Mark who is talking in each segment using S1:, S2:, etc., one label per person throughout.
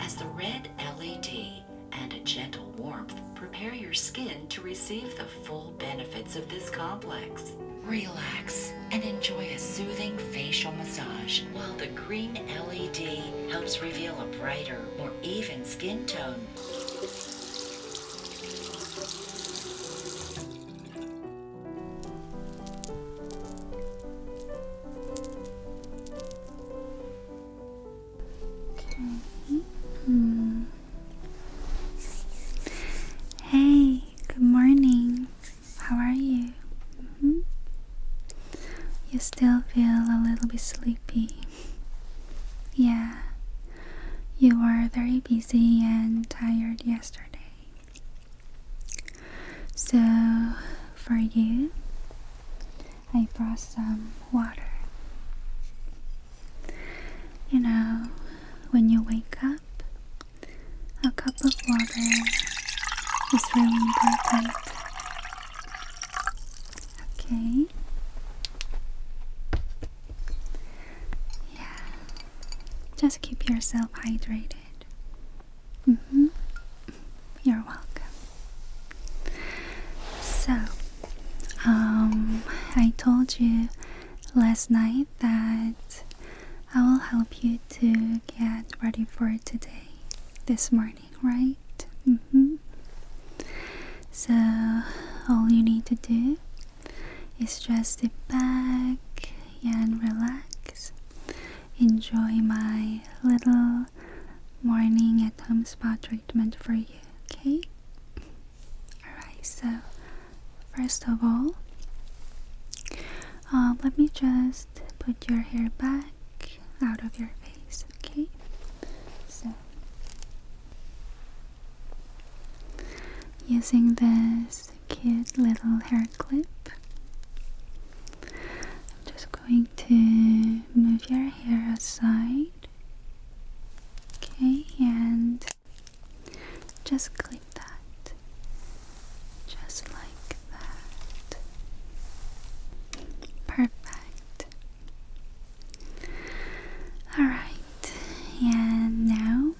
S1: As the red LED and a gentle warmth prepare your skin to receive the full benefits of this complex. Relax and enjoy a soothing facial massage, while the green LED helps reveal a brighter, more even skin tone. Okay. Hmm. Hey, good morning. How are you? -hmm. You still feel a little bit sleepy. yeah, you were very busy and tired yesterday. So, for you, I brought some water. You know, when you wake up, a cup of water is really important. Okay. Yeah. Just keep yourself hydrated. Mm hmm. You're welcome. So, um, I told you last night that I will help you to get ready for today, this morning, right? Mm-hmm. So, all you need to do is just sit back and relax. Enjoy my little morning at home spa treatment for you, okay? Alright, so first of all, uh, let me just put your hair back out of your face, okay? So, using this cute little hair clip, I'm just going to move your hair aside, okay, and just clip that. Just like that. Perfect. Alright, and now,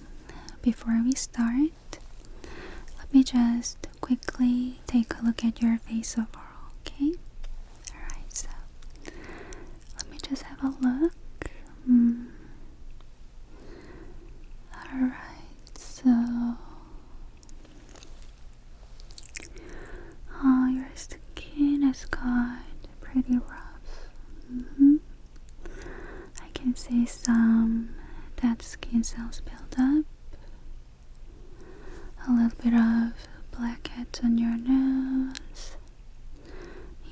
S1: before we start, let me just quickly take a look at your face overall, okay? Alright, so let me just have a look. Hmm. Alright, so Oh, your skin has got pretty rough. Mm-hmm. I can see some dead skin cells build up, a little bit of blackheads on your nose,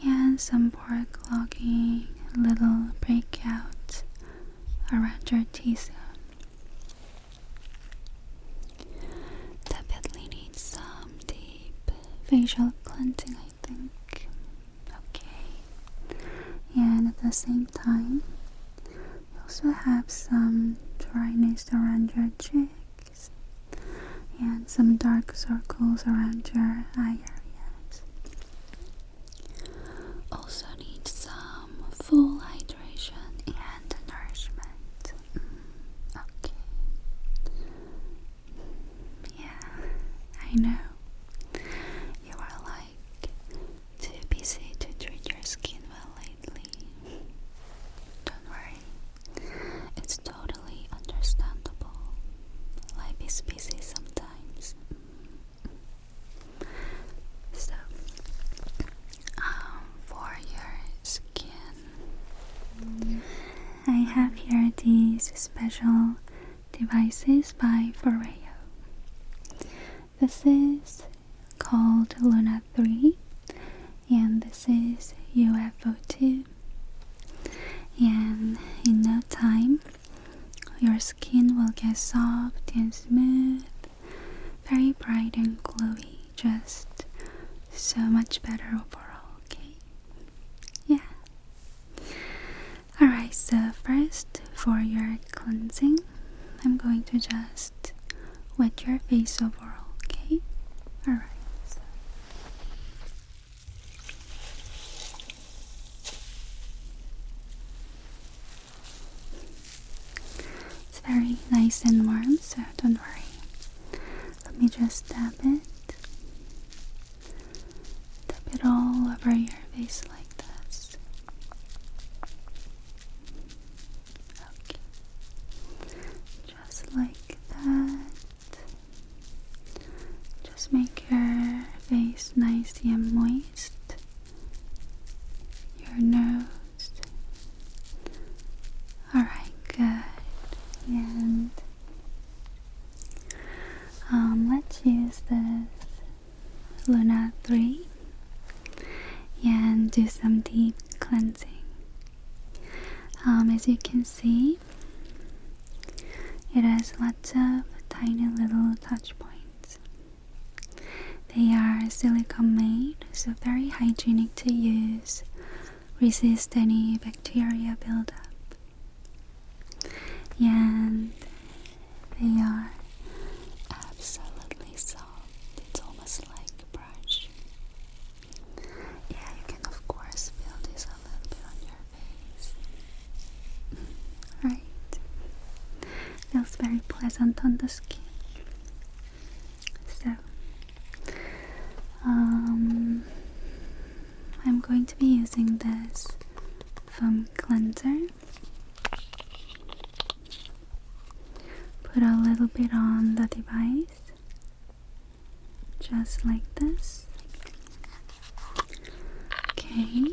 S1: yeah, some pore clogging, little breakouts around your T-zone. Definitely needs some deep facial cleansing, I think. Okay. And at the same time, you also have some dryness around your cheeks and some dark circles around your eye areas. Also need some full hydration and nourishment. Mm, okay. Yeah, I know. You are like too busy to treat your skin well lately. Don't worry. It's totally understandable. Life is busy sometimes. Mm. So, um, for your skin, I have here these special devices by Foreo. This is called Luna 3, and this is UFO 2. And in no time, your skin will get soft and smooth very bright and glowy, just so much better overall, okay? Yeah. Alright, so first for your cleansing, I'm going to just wet your face overall, okay? Alright. It's very nice and warm, so don't worry. Let me just dab it. dab it all over your face like this. Just like that. Just make your face nice and moist your nose. Alright, good. And um, let's use this Luna 3 and do some deep cleansing. Um, as you can see, it has lots of tiny little touch points. They are silicone made, so very hygienic to use, resist any bacteria buildup. And they are absolutely soft, it's almost like a brush. Yeah, you can, of course, feel this a little bit on your face right? Feels very pleasant on the skin. So, um, I'm going to be using this foam cleanser. Put a little bit on the device, just like this. Okay,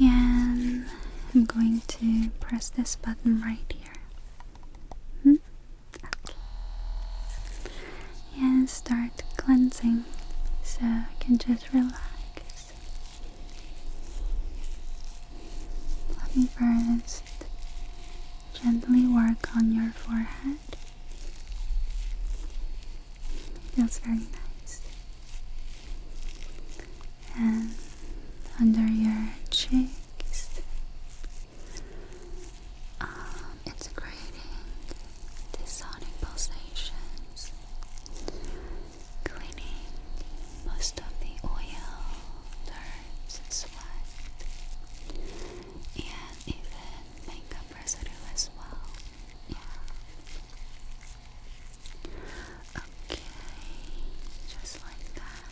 S1: and I'm going to press this button right here. Hmm? Okay. And start cleansing so I can just relax. Let me first gently work on your forehead. Feels very nice. And under your cheeks, um, it's creating dissonic pulsations, cleaning most of the oil, dirt, sweat, and even makeup residue as well. Yeah. Okay, just like that.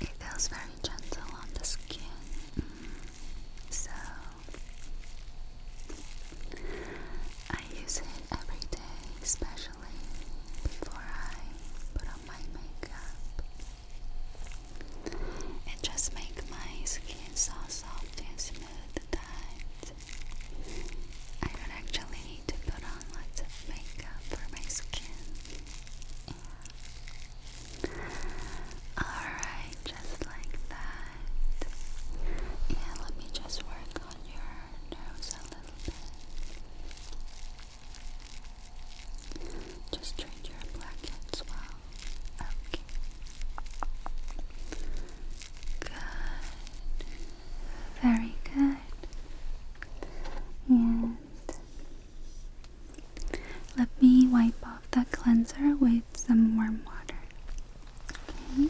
S1: It feels very gentle on the skin. Mm, so I use it every day, especially before I put on my makeup. It just makes my skin so soft and smooth that I don't actually need to put on lots of makeup for my skin. Alright, just like that. Yeah, let me just work on your nose a little bit. Just treat your blackheads well. Okay. Good. Very good. And let me wipe off that cleanser with some warm water. Okay.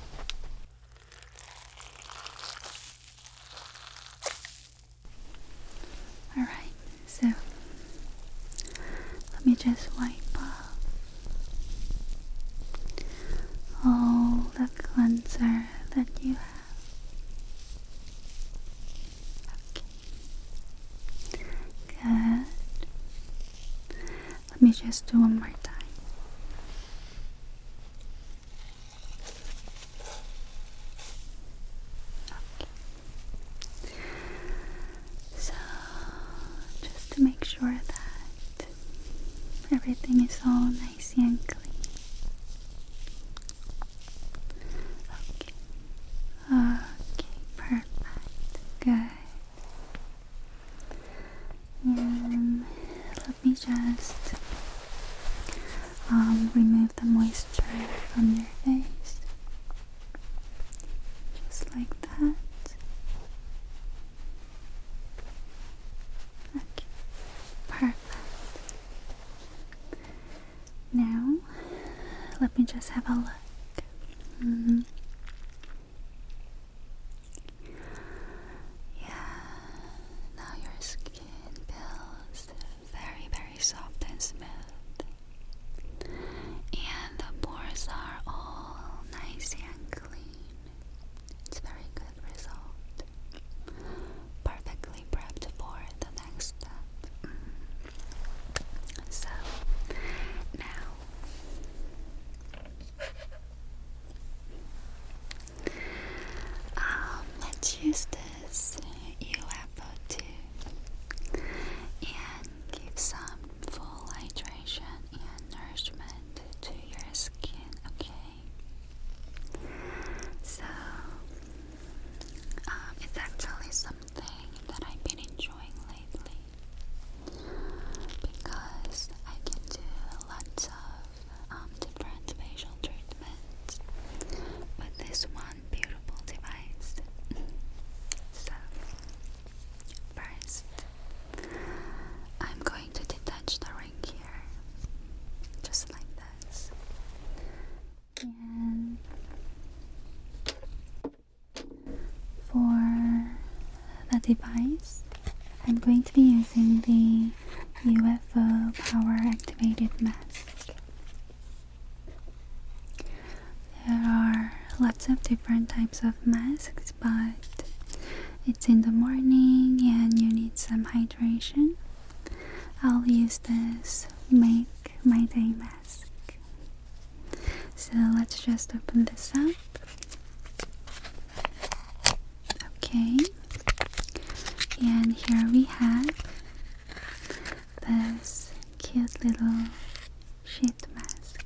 S1: All right. So let me just wipe off all the cleanser that you have. Okay. Good. Let me just do one more time. Okay. So, just to make sure that everything is all nice and clean. Okay. Okay, perfect. Good. And let me just um, remove the moisture from your face just like that. perfect. Now, let me just have a look. Mm-hmm. Yeah, now your skin feels very, very soft and smooth. And the pores are all nice and clean. It's a very good result. Perfectly prepped for the next step. Mm. So now um, let's use this UFO2 and give some full hydration and nourishment to your skin, okay? So, um, it's actually something that I've been enjoying lately because I can do lots of um, different facial treatments with this one beautiful device. so, First, I'm going to detach the ring here, just like this. And for the device, I'm going to be using the UFO power activated mask. There are lots of different types of masks, but it's in the morning and you need some hydration. I'll use this Make My Day mask. So let's just open this up. Okay, and here we have this cute little sheet mask.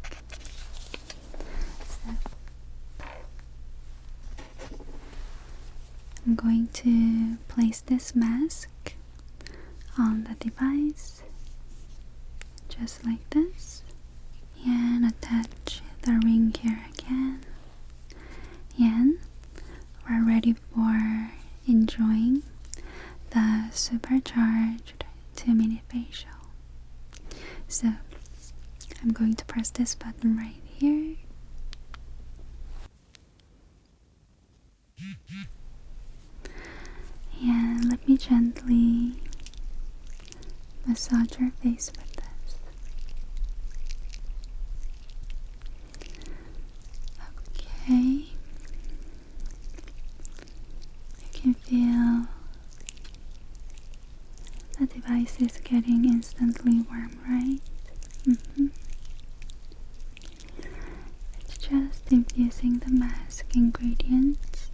S1: So I'm going to place this mask on the device just like this and attach the ring here again and we're ready for enjoying the supercharge two minute facial. So I'm going to press this button right here. And let me gently massage your face with this. Okay, you can feel the device is getting instantly warm, right? Mm-hmm. It's just infusing the mask ingredients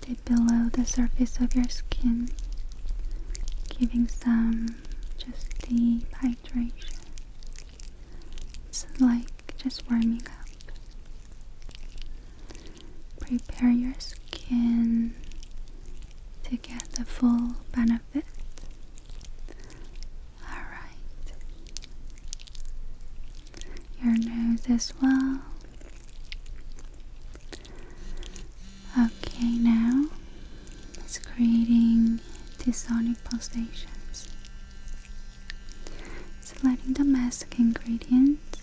S1: deep below the surface of your skin, giving some just deep hydration. It's like just warming up. Prepare your skin to get the full benefit. Alright. Your nose as well. Okay, now it's creating the pulsations so letting the mask ingredients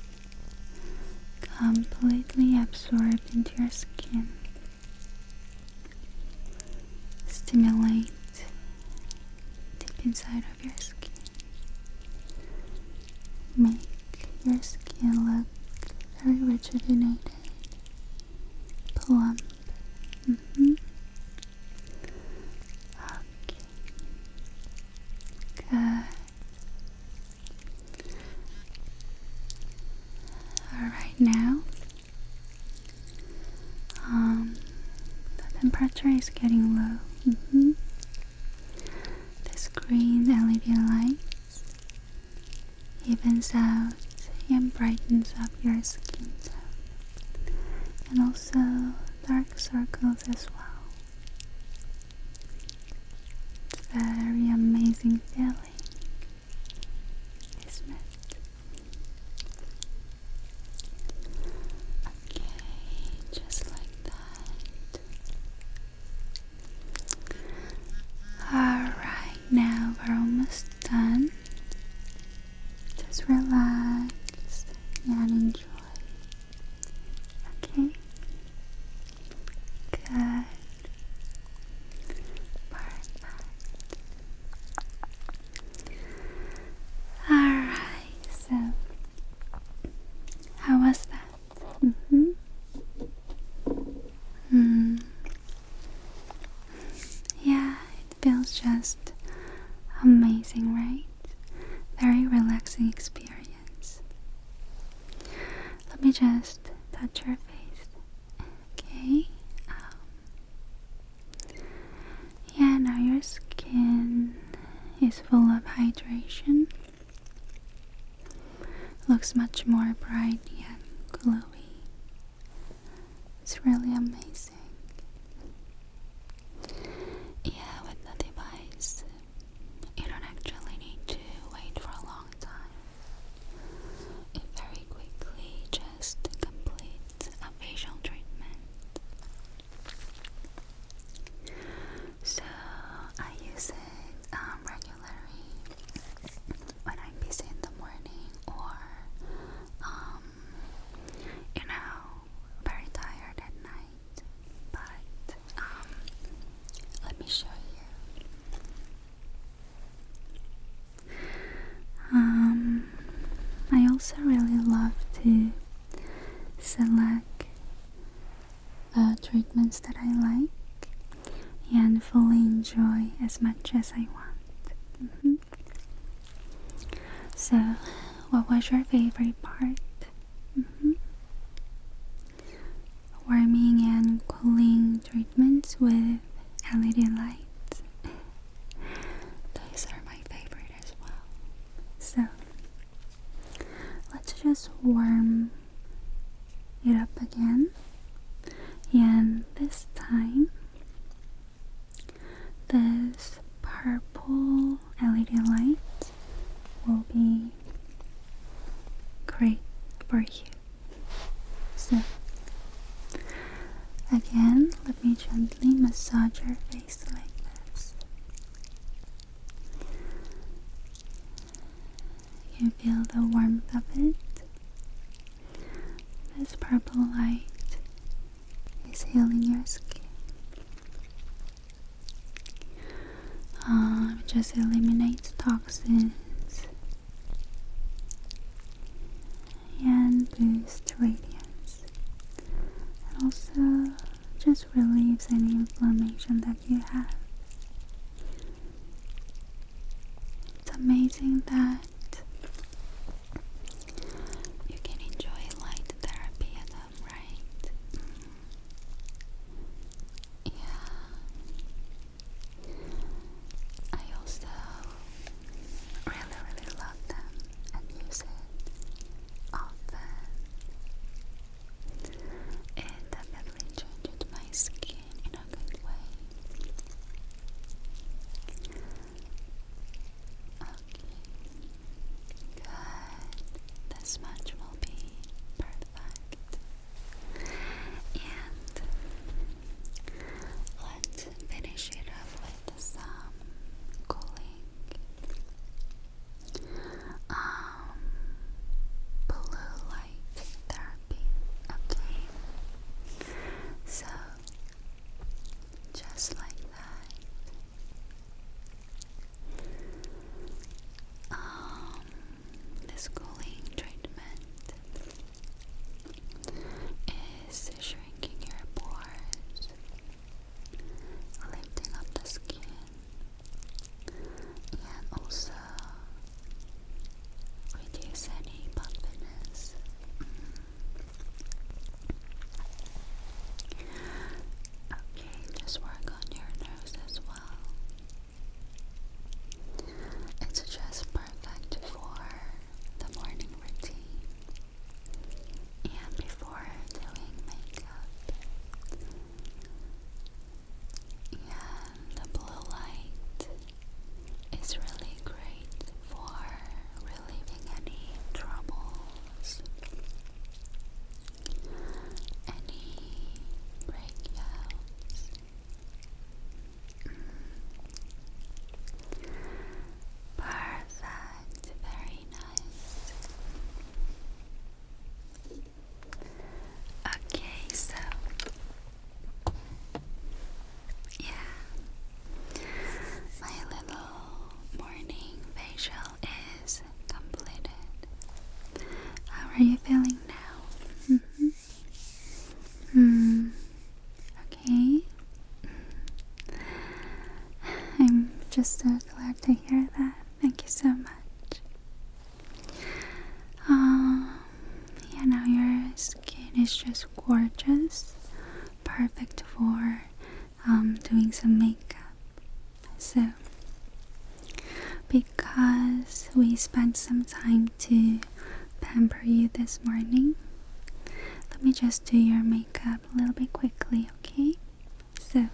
S1: completely absorb into your skin. Stimulate deep inside of your skin. Make your skin look very rejuvenated, plump. Mm -hmm. Okay. Good. All right now. Um, the temperature is getting low. Mm-hmm. This green LED light evens out and brightens up your skin tone and also dark circles as well. It's very amazing feeling, isn't it? Okay, just like that. Alright, now we're almost done. Just relax and enjoy. Okay? Good. Perfect. Alright, so how was that? Mm-hmm. Mm hmm. Yeah, it feels just amazing, right? Very relaxing experience. Let me just touch your face. Okay. Um, yeah, now your skin is full of hydration. Looks much more bright and glowy. It's really amazing. Yeah, with the device, you don't actually need to wait for a long time. It very quickly just completes a facial treatment. So I use it um, regularly when I'm busy in the morning or um, you know, very tired at night. But um, let me show you. Um, I also really love to select the uh, treatments that I like and fully enjoy as much as I want. Mm-hmm. So, what was your favorite part? Mm-hmm. Warming and cooling treatments with LED lights. Those are my favorite as well. So, let's just warm it up again, and this time this purple LED light will be great for you. So, again, let me gently massage your face like this. You feel the warmth of it. This purple light is healing your skin. It um, just eliminates toxins and boosts radiance. And also just relieves any inflammation that you have. It's amazing that you can enjoy light therapy at them, right? Yeah. I also really, really love them and use it often. It definitely changed my skin in a good way. Okay. Good. This much will be perfect. And let's finish it up with some cooling um blue light therapy. Okay. So just like that um, this treatment is shrinking your pores, lifting up the skin, and also reduce any puffiness. Mm. Okay, just work on your nose as well. It's just perfect for the morning routine and before doing makeup. And the blue light is really great for relieving any troubles, any breakouts. Mm. Perfect, very nice. Okay, so yeah, my little morning facial is completed. How are you feeling now? Mm -hmm. Hmm. Okay. Mm-hmm. I'm just so glad to hear that. Thank you so much. Um, yeah, now your skin is just gorgeous. Perfect for um, doing some makeup. So, because we spent some time to pamper you this morning, let me just do your makeup a little bit quickly, okay? So,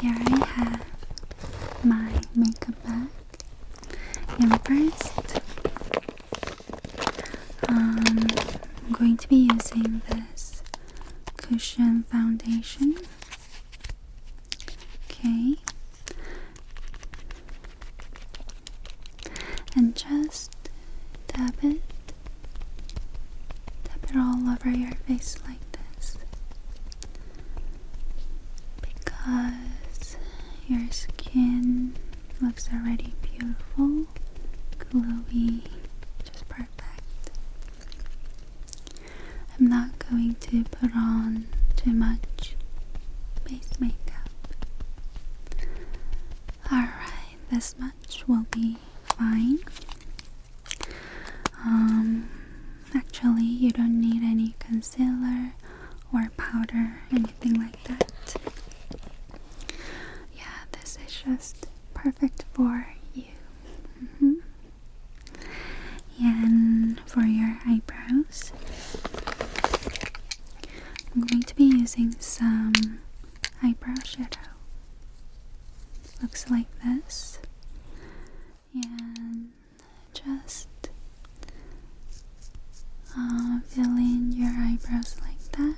S1: here I have my makeup bag. And first, um, I'm going to be using this cushion foundation. Okay. And just dab it. Tap it all over your face like this. Because your skin Looks already beautiful, glowy, just perfect. I'm not going to put on too much base makeup. Alright, this much will be fine. Um, actually, you don't need any concealer or powder anything like that. Yeah, this is just perfect for you. Mm-hmm. And for your eyebrows, I'm going to be using some eyebrow shadow. Looks like this. And just uh, fill in your eyebrows like that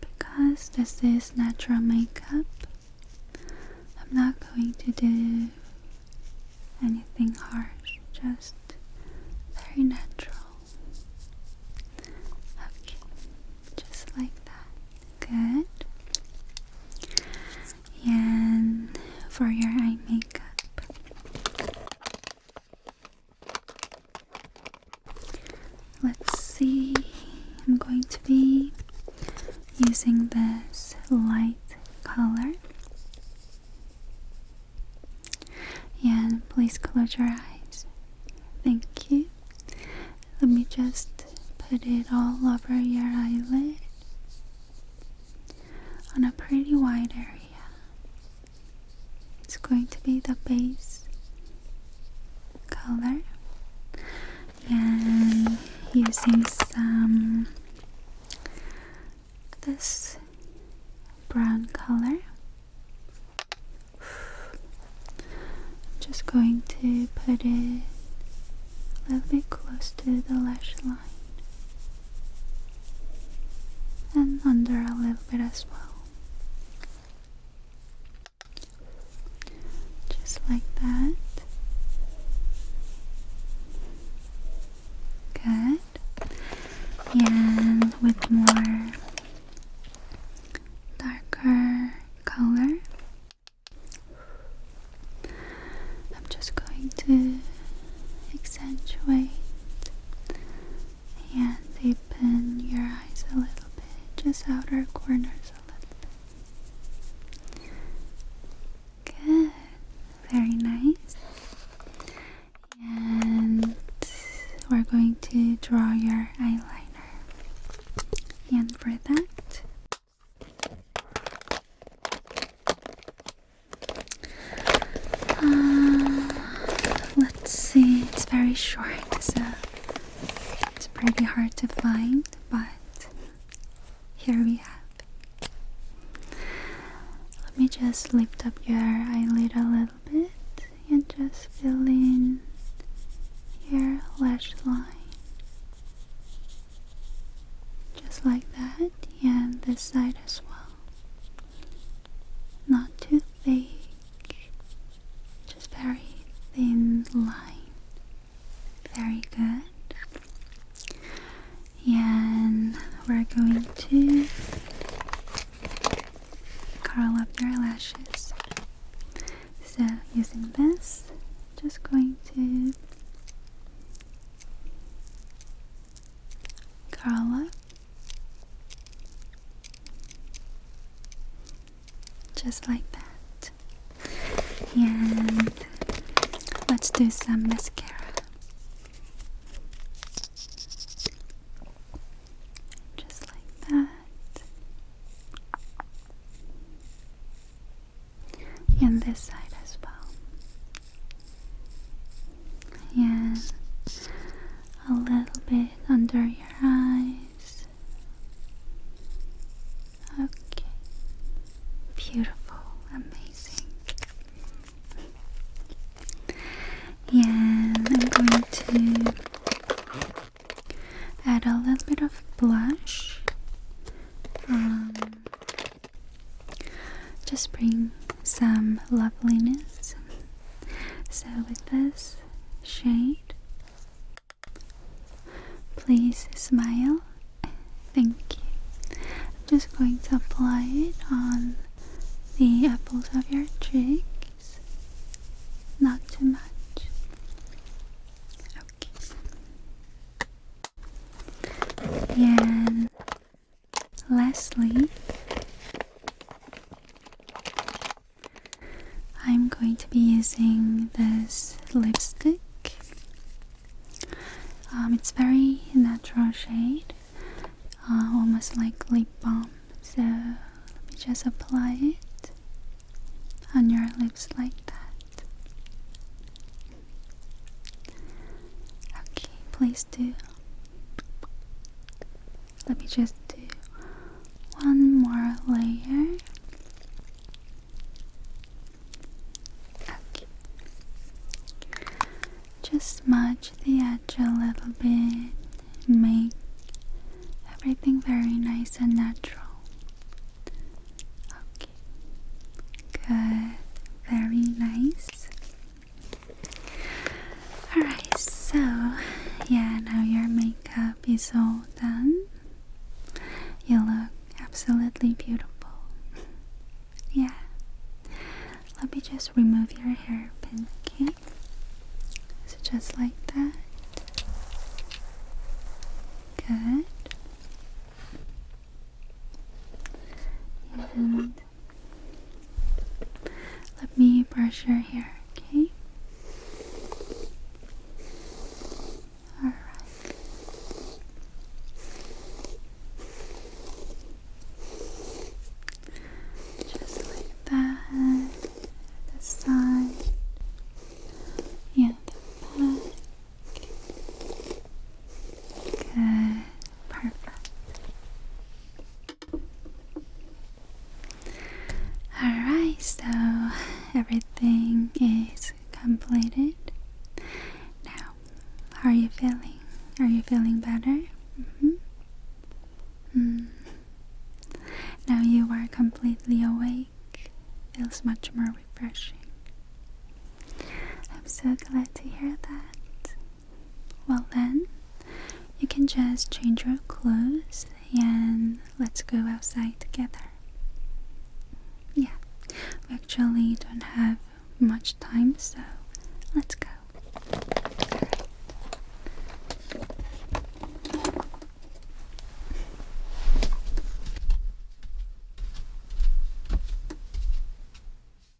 S1: because this is natural makeup. I'm not going to do anything harsh, just very natural. Okay, just like that. Good. And for your eye makeup, Let's see, I'm going to be using this light color. And please close your eyes. Thank you. Let me just put it all over your eyelid on a pretty wide area here. It's going to be the base color and using some this brown color just going to put it a little bit close to the lash line and under a little bit as well. Just like that. Good. And with more darker color, I'm just going to accentuate and deepen your eyes a little bit, just outer corners a little bit. Good, very nice. And we're going to draw your eyeliner. And for that, uh, let's see, it's very short, so it's pretty hard to find, but here we have. Let me just lift up your eyelid a little bit and just fill in your lash line. Just like that, and this side as well. Not too thick, just very thin line. Very good. And we're going to curl up your lashes. So, using this, just going to Carla. Just like that. And let's do some mascara. Just like that. And this side as well and a little bit under your eyes. Okay, beautiful, amazing. And I'm going to add a little bit of blush. Um, just bring some loveliness. So, with this shade, please smile. Thank you. I'm just going to apply it on the apples of your cheeks, not too much. Okay. And Lastly, I'm going to be using this lipstick. Um, it's very natural shade, uh, almost like lip balm. So let me just apply it on your lips like that. Okay, please do let me just do one more layer. Okay. Just smudge the edge a little bit, make everything very nice and natural. Okay. Good. Very nice. Alright, so yeah, now your makeup is all done. You look absolutely beautiful. yeah. Let me just remove your hairpin, okay? So just like that. Good. Let me brush your hair, okay? All right. Just like that. This side. Yeah, the back. Good, perfect. Alright, so everything is completed. Now, how are you feeling? Are you feeling better? Mm-hmm. Mm. Now you are completely awake. Feels much more refreshing. I'm so glad to hear that. Well, then, you can just change your clothes and let's go outside together. Yeah, we actually don't have much time, so let's go.